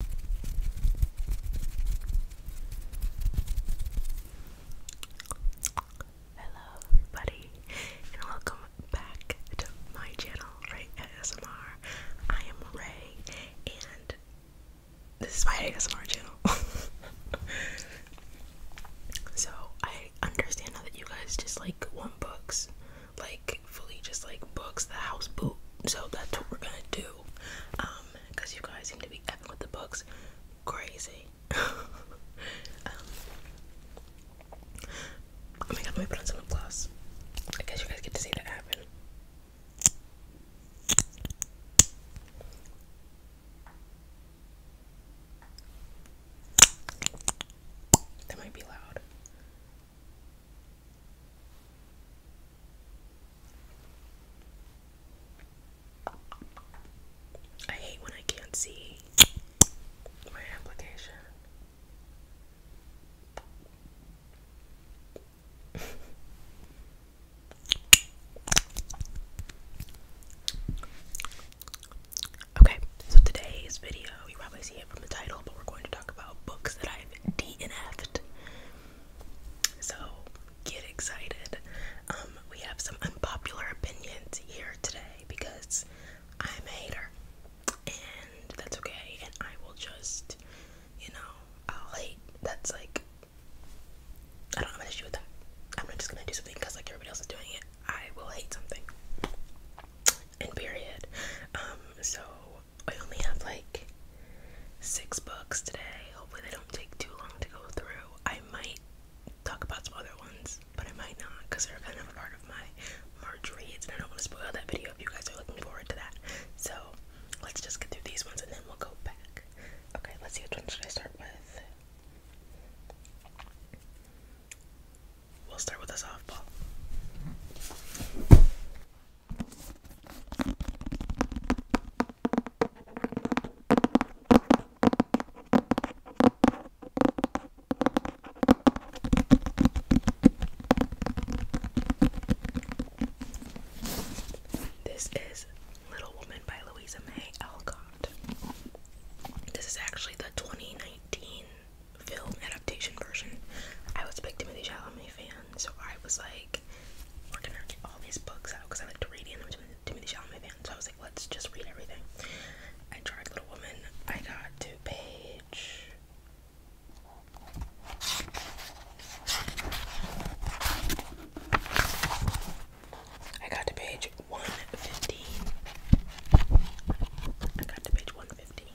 Hello, everybody, and welcome back to my channel, Ray ASMR. I am Ray, and this is my ASMR channel. so, I understand now that you guys just like want books, like fully just like books, the house boot. So, that's what we're gonna do because um, you guys seem to be with the books crazy um, oh my god let me put on some lip gloss i guess you guys get to see that happen that might be loud I hate when I can't see my application. okay, so today's video, you probably see it from the title, but we're going to talk about books that I DNF'd. So get excited. Um, we have some unpopular opinions here today because I'm a hater, and that's okay. And I will just, you know, I'll hate. That's like, I don't have an issue with that. I'm not just gonna do something because like everybody else is doing it. I will hate something. And period. Um, so I only have like six books today. Hopefully, they don't take too long to go through. I might talk about some other ones, but I might not because they're kind of a part of my March reads, and I don't want to spoil that video if you guys are looking forward to that. So, let's just get through these ones and then we'll go back. Okay, let's see which one should I start with. We'll start with a softball. This is Little Woman by Louisa May Alcott. This is actually the 2019 film adaptation version. I was a big Timothy Chalamet fan, so I was like, we're gonna get all these books out because I like to read, and I'm a Timothy Chalamet fan, so I was like, let's just read everything. I tried Little Woman. I got to page. I got to page 115. I got to page 115.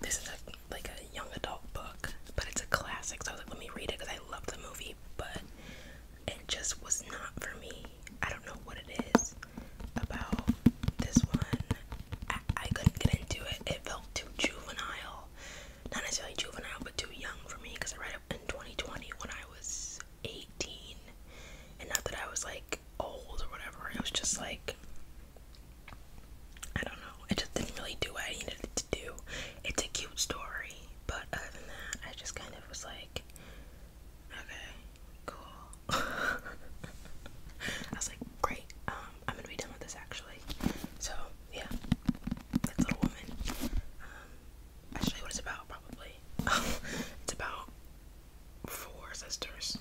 This is a, like a young adult book, but it's a classic. So I was like, let me read it because I love the movie, but it just was not for me. I don't know what it is about this one. I, I couldn't get into it. It felt too juvenile, not necessarily juvenile, but too young for me because I read it in 2020 when I was 18, and not that I was like old or whatever. It was just like I don't know. It just didn't really do what I needed to do. It's a cute story, but other than that, I just kind of was like, okay, cool. I was like, great. Um, I'm gonna be done with this actually. So yeah, that's Little Woman. Um, actually, what it's about probably. it's about four sisters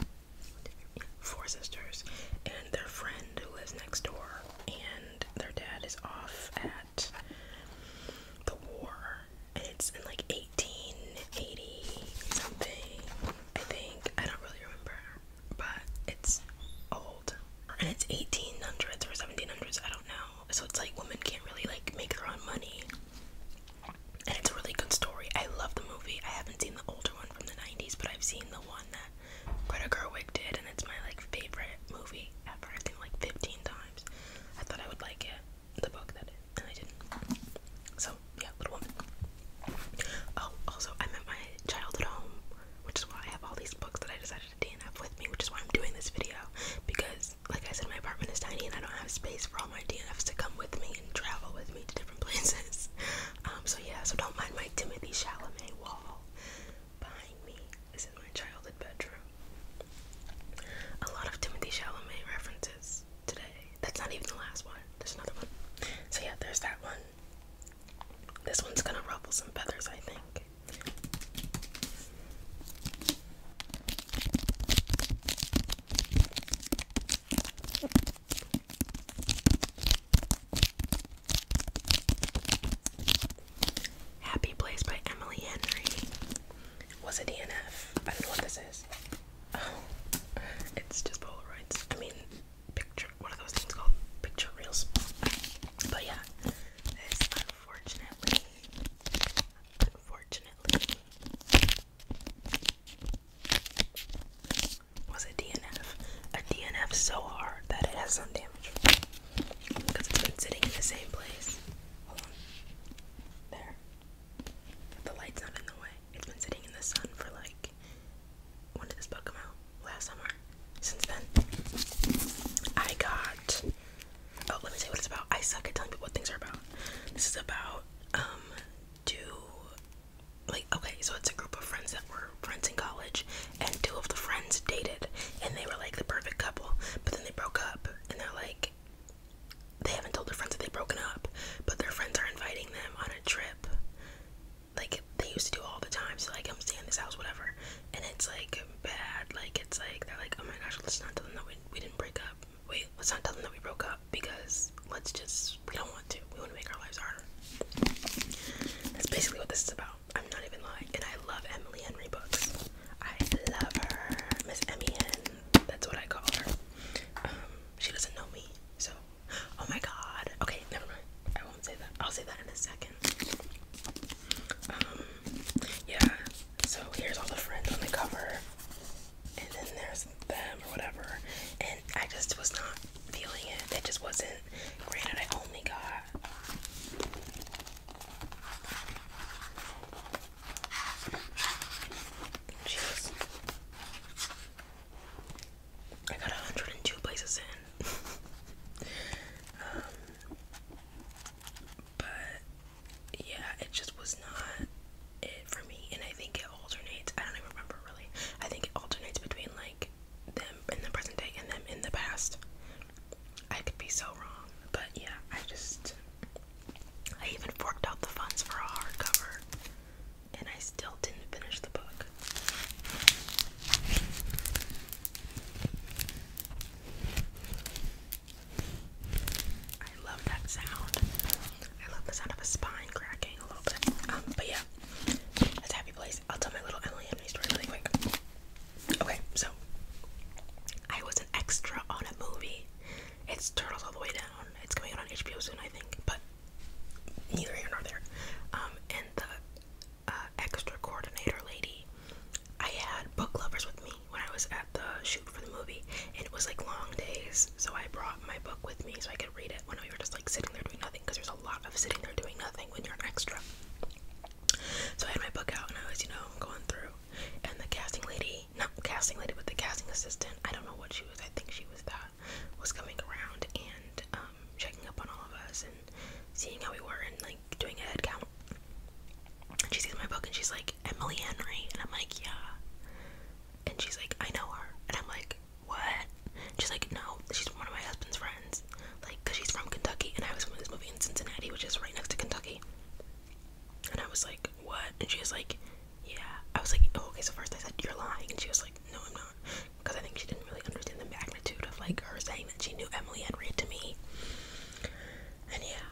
four sisters and their friend who lives next door and their dad is off at the war and it's in like 1880 something I think I don't really remember but it's old and it's 1800s or 1700s I don't know so it's like women can't really like make their own money and it's a really good story. I love the movie. I haven't seen the older one from the 90s, but I've seen the one that Greta Gerwig did, and it's my like favorite movie I've watched it like 15 times. I thought I would like it, the book that and I didn't. So yeah, Little Woman. Oh, also I'm at my child home, which is why I have all these books that I decided to DNF with me, which is why I'm doing this video because, like I said, my apartment is tiny and I don't have space for all my DNFs to come with me and travel with to different places. Um, so yeah, so don't mind my Timothy Chalamet wall behind me. This is my childhood bedroom. A lot of Timothy Chalamet references today. That's not even the last one. There's another one. So yeah, there's that one. This one's gonna ruffle some feathers, I think. Happy Place by Emily Henry was a DNF. I don't know what this is. Oh, it's just Polaroids. I mean, picture, what are those things called? Picture reels. But yeah, this unfortunately, unfortunately was it DNF. A DNF so hard that it has some damage. Because it's been sitting in the same place. There. But the light's not in the way. It's been sitting in the sun for like. When did this book come out? Last summer. Since then, I got. Oh, let me tell you what it's about. I suck at telling people what things are about. This is about um two like okay so it's a group of friends that were friends in college and two of the friends dated and they were like the perfect couple but then they broke up and they're like they haven't told their friends that they've broken up but their friends are inviting them on a trip like they used to do all the time so like i'm staying in this house whatever and it's like bad like it's like they're like oh my gosh let's not tell them that we, we didn't break up wait, let's not tell them that we broke up because let's just, we don't want to. We want to make our lives harder. That's basically what this is about. I'm not even lying. And I love Emily Henry books. I love her. Miss Emmy That's what I call her. Um, she doesn't know me, so. Oh my god. Okay, never mind. I won't say that. I'll say that in a second. Um, yeah. So here's all the friends on the cover and then there's them or whatever. And I just was not feeling it. It just wasn't. Granted, I only got. Jeez. I got 102 places in. um, but yeah, it just was not it for me. And I think it alternates. I don't even remember really. I think it alternates between like them in the present day and them in the past. I could be so wrong, but yeah, I just I even forked out the funds for a hardcover, and I still didn't finish the book. I love that sound. I love the sound of a spine cracking a little bit. Um, but yeah, that's a happy place. I'll tell my little Emily and story really quick. Okay, so I was an extra on a movie. It's Turtles All the Way Down. It's coming out on HBO soon, I think, but neither here nor there. Um, and the uh, extra coordinator lady, I had book lovers with me, when I was at the shoot for the movie, and it was like long days, so I brought my book with me so I could read it when we were just like sitting there doing nothing, because there's a lot of sitting there doing nothing when you're an extra. So I had my book out and I was, you know, going through, and the casting lady, not casting lady, but the casting assistant, I don't know what she was, I think she was that, was coming around and um, checking up on all of us and seeing how we were and like doing a head count. And she sees my book and she's like, Emily Henry? And I'm like, yeah. And she's like, I know her. And I'm like, what? She's like, no, she's one of my husband's friends. Like, because she's from Kentucky, and I was filming this movie in Cincinnati, which is right next to Kentucky. And I was like, what? And she was like, yeah. I was like, oh, okay, so first I said, you're lying. And she was like, no, I'm not. Because I think she didn't really understand the magnitude of, like, her saying that she knew Emily Henry to me. And yeah,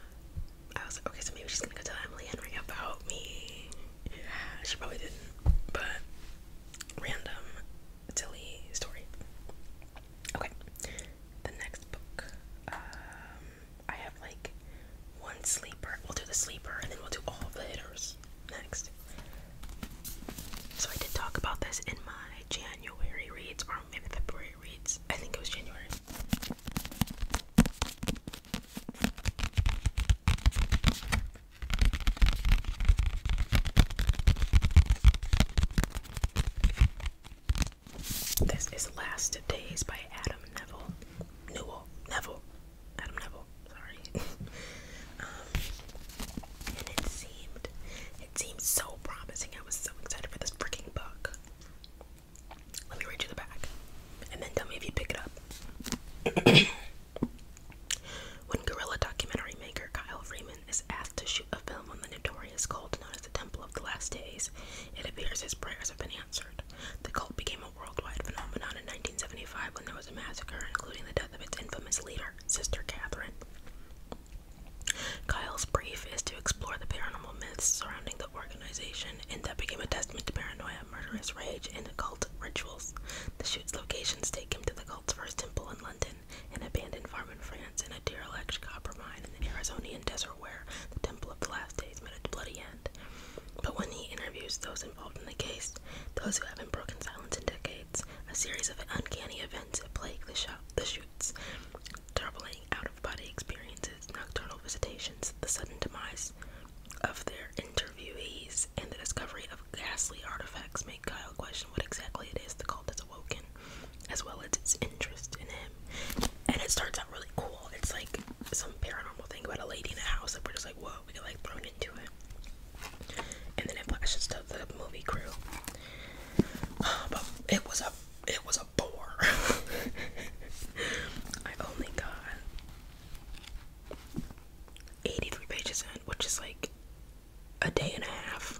I was like, okay, so maybe she's gonna go tell Emily Henry about me. Yeah, she probably didn't, but random Tilly story. Okay, the next book. Um, I have like one sleeper. We'll do the sleeper and then we'll do all the hitters next. So I did talk about this in my January reads or maybe February reads. I think it was January. This is Last Days by Adam Neville. Newell. Neville. Adam Neville. Sorry. um, and it seemed, it seemed so promising. I was so excited for this freaking book. Let me reach you the back, and then tell me if you pick it up. when guerrilla documentary maker Kyle Freeman is asked to shoot a film on the notorious cult known as the Temple of the Last Days, it appears his prayers have been answered. The cult became a worldwide phenomenon in 1975 when there was a massacre, including the death of its infamous leader, Sister Catherine. Kyle's brief is to explore the paranormal myths surrounding the organization, and that became a testament to paranoia, murderous rage, and occult rituals. The shoot's locations take him to the cult's first temple in London, an abandoned farm in France, and a derelict copper mine in the Arizonian desert where the Temple of the Last Days met a bloody end. But when he interviews those involved in the case, those who haven't broken silence in decades, a series of uncanny events plague the, shop, the shoots, troubling out of body experiences, nocturnal visitations, the sudden demise of their interviewees, and the discovery of ghastly artifacts make Kyle question what exactly it is the cult has awoken, as well as its interest in him. And it starts out really cool. It's like some paranormal thing about a lady in a house that we're just like, whoa, we get like thrown into it. And then it flashes to the movie crew. it was a it was a four. I only got 83 pages in, which is like a day and a half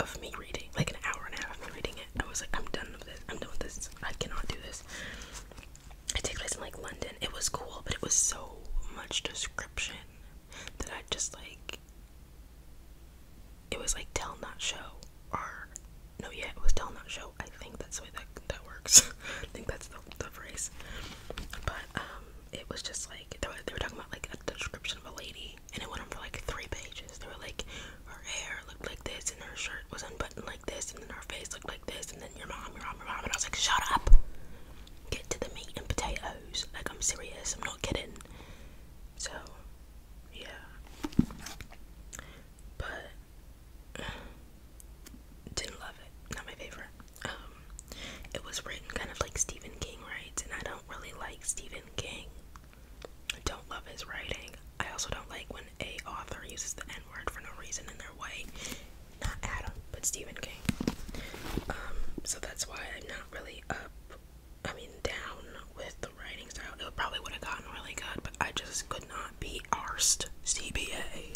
of me reading, like an hour and a half of me reading it. I was like, I'm done with this. I'm done with this. I cannot do this. It takes place in like London. It was cool, but it was so much description that I just like it was like tell not show or no yeah it was tell not show i think that's the way that that works i think that's the, the phrase but um it was just like they were, talking about like a description of a lady and it went on for like three pages they were like her hair looked like this and her shirt was unbuttoned like this and then her face looked like this and then your mom your mom your mom and i was like shut up get to the meat and potatoes like i'm serious i'm not kidding so, yeah. But didn't love it. Not my favorite. Um, it was written kind of like Stephen King writes, and I don't really like Stephen King. I don't love his writing. I also don't like when a author uses the N word for no reason in their way. Not Adam, but Stephen King. Um, so that's why I'm not really up I mean, down with the writing style. It probably would have gotten really good, but I just could not be arsed. CBA.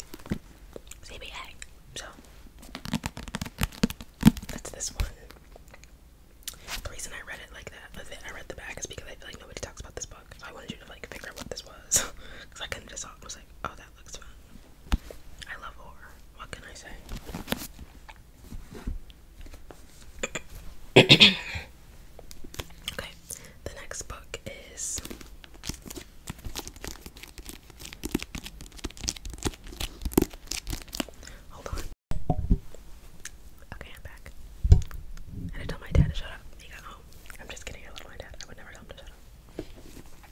CBA. So, that's this one. The reason I read it like that, I read the back, is because I feel like nobody talks about this book. I wanted you to like figure out what this was. Because I kind of just saw it was like, oh, that looks fun. I love horror. What can I say? okay, the next book is Hold on. Okay, I'm back. I had my dad to shut up. He got home. I'm just kidding, I love my dad. I would never tell him to shut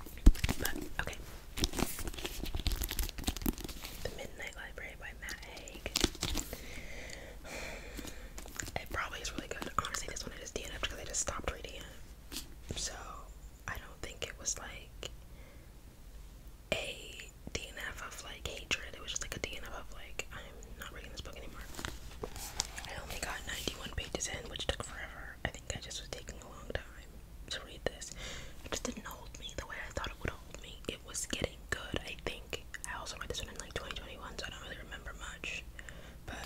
up. But okay. The Midnight Library by Matt Haig. It probably is really good. Honestly, this one I dnf because I just stopped reading it. So I don't think it was like a DNF of like hatred. It was just like a DNF of like I'm not reading this book anymore. I only got 91 pages in, which took forever. I think I just was taking a long time to read this. It just didn't hold me the way I thought it would hold me. It was getting good, I think. I also read this one in like 2021, so I don't really remember much. But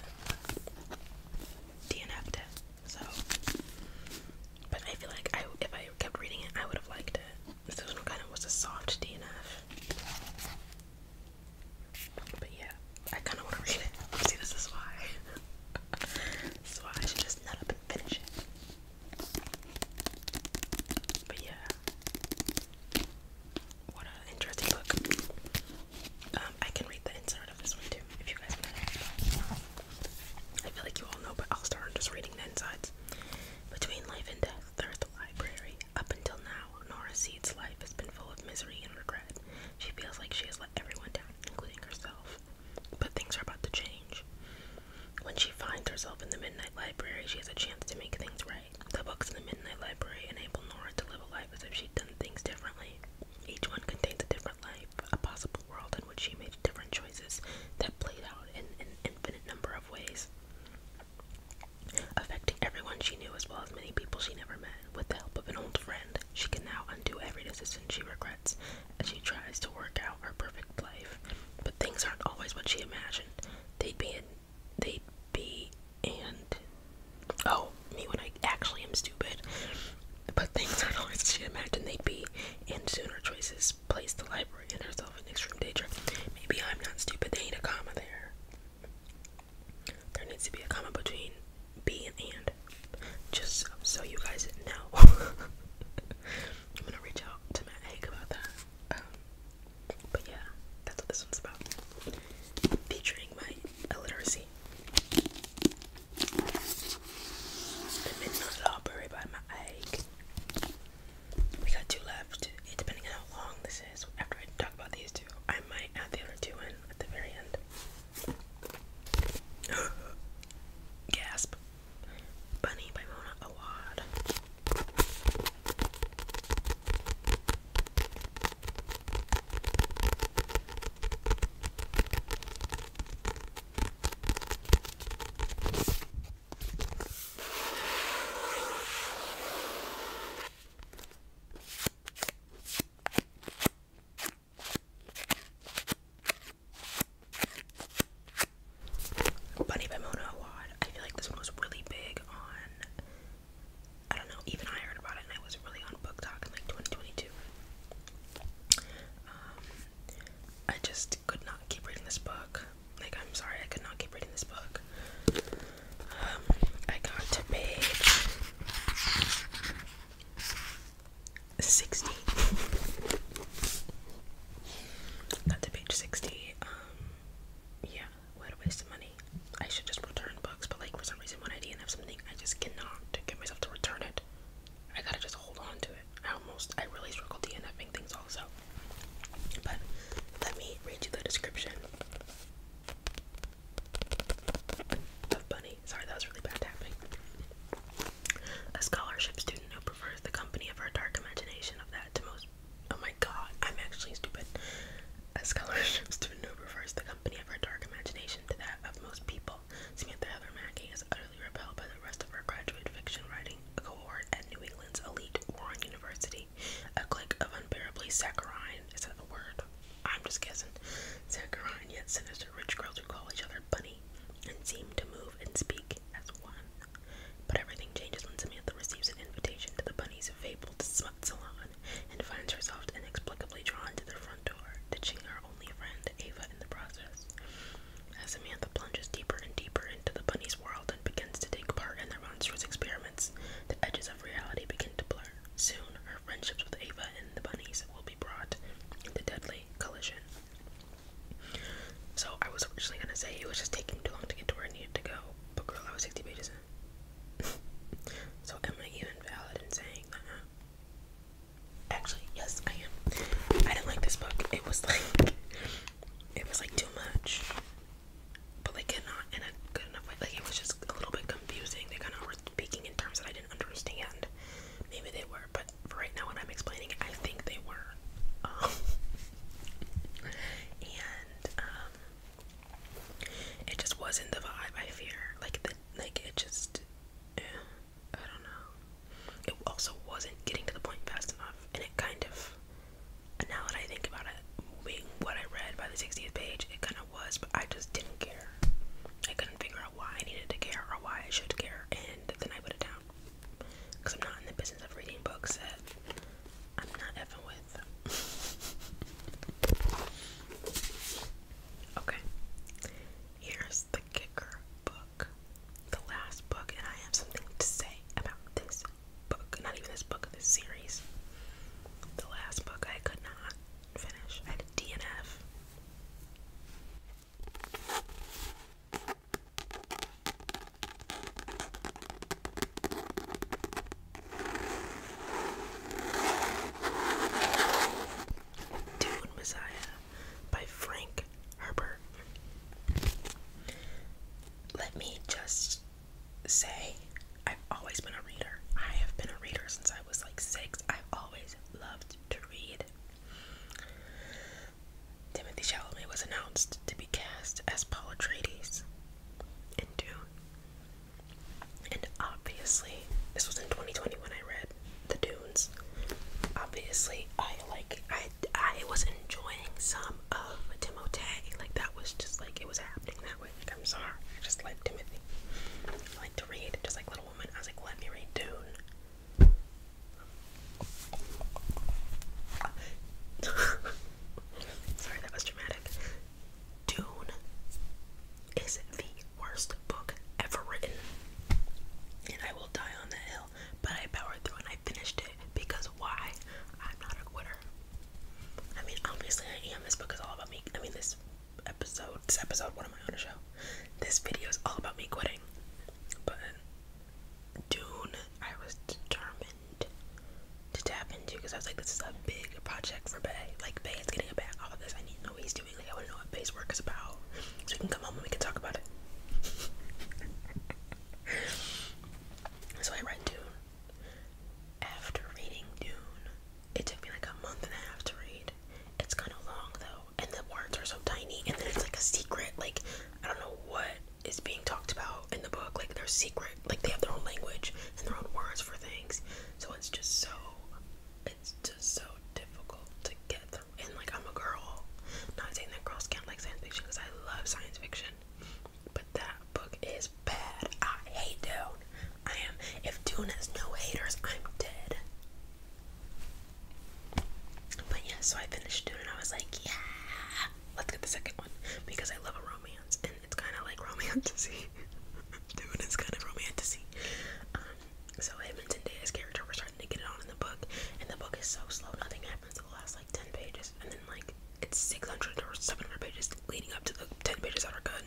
DNF'd it, so. But I feel like I, if I kept reading it, I would have liked it. This one kind of was a soft DNF. But yeah, I kind of want to read it. See, this is why. this is why I should just nut up and finish it. But yeah, what an interesting book. Um, I can read the inside of this one too, if you guys want I feel like you all know, but I'll start just reading the insides. Between life and death, there's the library. Up until now, Nora Seed's life has been full of misery and regret. She feels like she has let everyone down, including herself. But things are about to change. When she finds herself in the Midnight Library, she has a chance to make things right. The books in the Midnight Library enable Nora to live a life as if she'd done things differently. Each one contains a different life, a possible world in which she made different choices that played out in an infinite number of ways, affecting everyone she knew as well as many people she never met. With the help of an old friend, she can now undo every decision she regrets and she tries to work out her perfect life, but things aren't always what she imagined. They'd be they'd be and oh me when I actually am stupid. But things aren't always what she imagined they'd be, and soon her choices placed the library and herself in extreme danger. Maybe I'm not stupid. They need a comma there. There needs to be a comma between be and and. Just so you guys know. I'm gonna reach out to my egg about that. Um, but yeah, that's what this one's about. Featuring my illiteracy. The Midnight Library by my egg. We got two left. It, depending on how long this is, after I talk about these two, I might add the other two in at the very end. Gasp. Bunny by Mona Awad. Bunny by Mona Awad. I feel like this one was really big on. I don't know. Even I heard about it, and I was really on book talk in like 2022. Um, I just could not keep reading this book. Like, I'm sorry, I could not keep reading this book. Um, I got to page. 60. Got to page 60. Um, yeah, what a waste of money. I should just return books, but like for some reason when I didn't have something, I just cannot get myself to return it. I gotta just hold on to it. I almost, I really struggle DNFing things also. But let me read you the description Bunny. Sorry, that was really bad tapping. A scholarship student who prefers the company of her dark imagination of that to most. Oh my god, I'm actually stupid. A scholarship student who prefers the company of her dark imagination to that of most people. Samantha Heather Mackey is utterly repelled by the rest of her graduate fiction writing cohort at New England's elite Warren University. A clique of unbearably saccharine, is that a word? I'm just guessing. Saccharine yet sinister rich girls who call each other bunny and seem to move and speak as one. But everything changes when Samantha receives an invitation to the bunny's fabled smut salon and finds herself inexplicably drawn to their front door, ditching her only friend, Ava, in the process. As Samantha plunges deeper and deeper into the bunny's world and begins to take part in their monstrous experiments, the edges of reality begin to blur. Soon, her friendships with Ava and the bunnies will be brought into deadly collision. So I was originally gonna say it was just taking too long to get to where I needed to go, but girl, I was 60 pages in. so am I even valid in saying that? Actually, yes, I am. I didn't like this book. It was like, it was like too much, but like not in a good enough way. Like it was just a little bit confusing. They kind of were speaking in terms that I didn't understand. Maybe they were, but right now when I'm explaining I think they were. Um, and um, it just wasn't the vibe. I fear, like like it just, eh, I don't know. It also wasn't getting to the point fast enough, and it kind of. Now that I think about it, being what I read by the 60th page, it kind of was, but I just didn't care. I couldn't figure out why I needed to care or why I should care, and then I put it down. Because I'm not in the business of reading books that I'm not effing with. okay, here's the kicker book. The last book, and I have something to say about this book. Not even this book, this series. The last book I could not finish. I DNF. Dune Messiah by Frank Herbert. Let me just say, I've always been a reader. I have been a reader since I was like six. I've always loved to read. Timothy Chalamet was announced to be cast as Paul Atreides in Dune. And obviously, this was in 2020 when I read The Dunes. Obviously, I like I I was enjoying some of Timotei. Like that was just like it was happening that way. I'm sorry, I just like Timothy. I like to read, I just like Little Women. I was like, let me read Dune. Sorry, that was dramatic. Dune is the worst book ever written. And I will die on the hill. But I powered through and I finished it because why? I'm not a quitter. I mean, obviously I am. This book is all about me. I mean, this episode. This episode, what am I on show? This video is all about me quitting. But in I was determined to tap into because I was like, this is a big project for Bay. Like, Bay is getting a back off of this. I need to know what he's doing. Like, I want to know what Bay's work is about. So we can come home and we can talk about it. so I read Dune. After reading Dune, it took me like a month and a half to read. It's kind of long though and the words are so tiny and then it's like a secret like i don't know what is being talked about in the book like they're secret like they have their own language and their own words for things so it's just so it's just so difficult to get through and like i'm a girl not saying that girls can't like science fiction because i love science fiction but that book is bad i hate dune i am if dune has no haters i'm dead but yeah, so I finished it and I was like, yeah, let's get the second one because I love a romance and it's kind of like romanticy. Dude, it's kind of romanticy. Um, so him and Zendaya's character were starting to get it on in the book, and the book is so slow. Nothing happens in the last like ten pages, and then like it's six hundred or seven hundred pages leading up to the ten pages that are good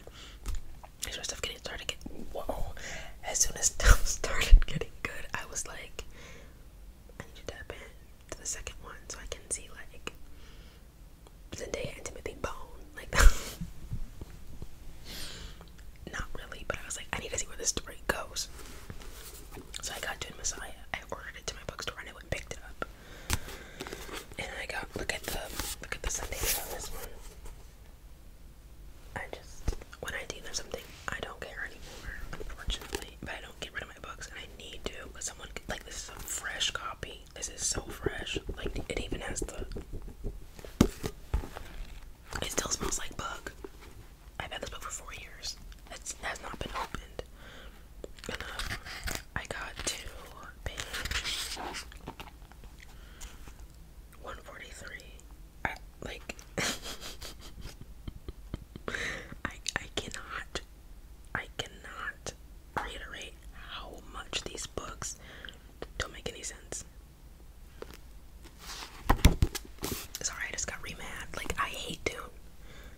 as soon as stuff started, getting, whoa, as soon as stuff started getting good, I was like, I need to tap in to the second one so I can see like Zendaya and Timothy Bone, like not really, but I was like, I need to see where this story goes. So I got Dune Messiah. I ordered it to my bookstore and I went and picked it up. And I got look at the look at the Sundays on this one. I just, when I do something, I don't care anymore, unfortunately. But I don't get rid of my books, I need to. But someone, like, this is a fresh copy. This is so fresh. Like, it even has the. It still smells like book. I've had this book for four years. It has not been opened. And, um, I got two 143. like, I, I cannot, I cannot reiterate how much these books don't make any sense. Sorry, I just got re Like, I hate Dune.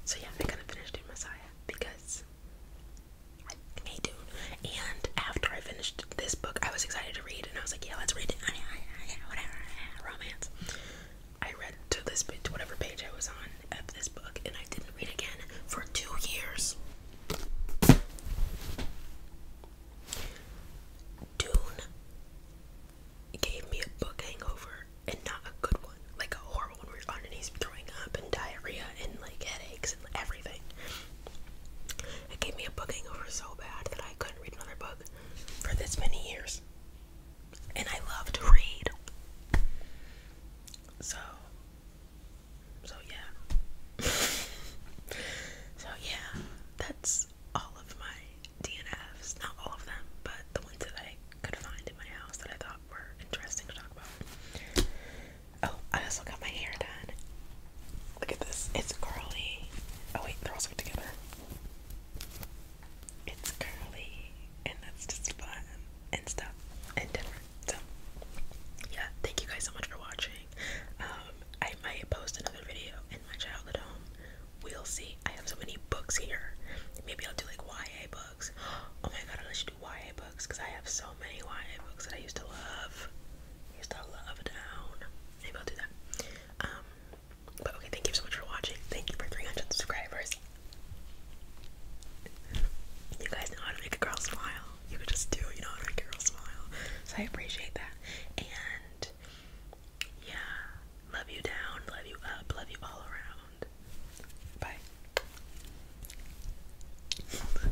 So, yeah, I gotta finish Dune Messiah because me And after I finished this book, I was excited to read, and I was like, yeah, let's read it. Whatever, romance. I read to this whatever page I was on of this book, and I didn't read again for two years. Dune gave me a book hangover, and not a good one, like a horrible one where you're underneath throwing up and diarrhea and like headaches and everything. It gave me a book hangover so bad that I couldn't read another book for this many years. And I love to read. So, so yeah. so yeah, that's all of my DNFs. Not all of them, but the ones that I could find in my house that I thought were interesting to talk about. Oh, I also got my hair done. Look at this. It's curly. Oh wait, they're all stuck together. It's curly, and that's just fun and stuff and different. So, yeah, thank you guys so much for watching. Um, I might post another video in my childhood home. We'll see. I have so many books here. Maybe I'll do like YA books. Oh my god, I should do YA books because I have so many YA books that I used to love use the love down. Maybe I'll do that. Um, but okay, thank you so much for watching. Thank you for 300 subscribers. You guys know how to make a girl smile. You could just do, you know how to make a girl smile. So I appreciate that. And yeah, love you down, love you up, love you all around. Bye.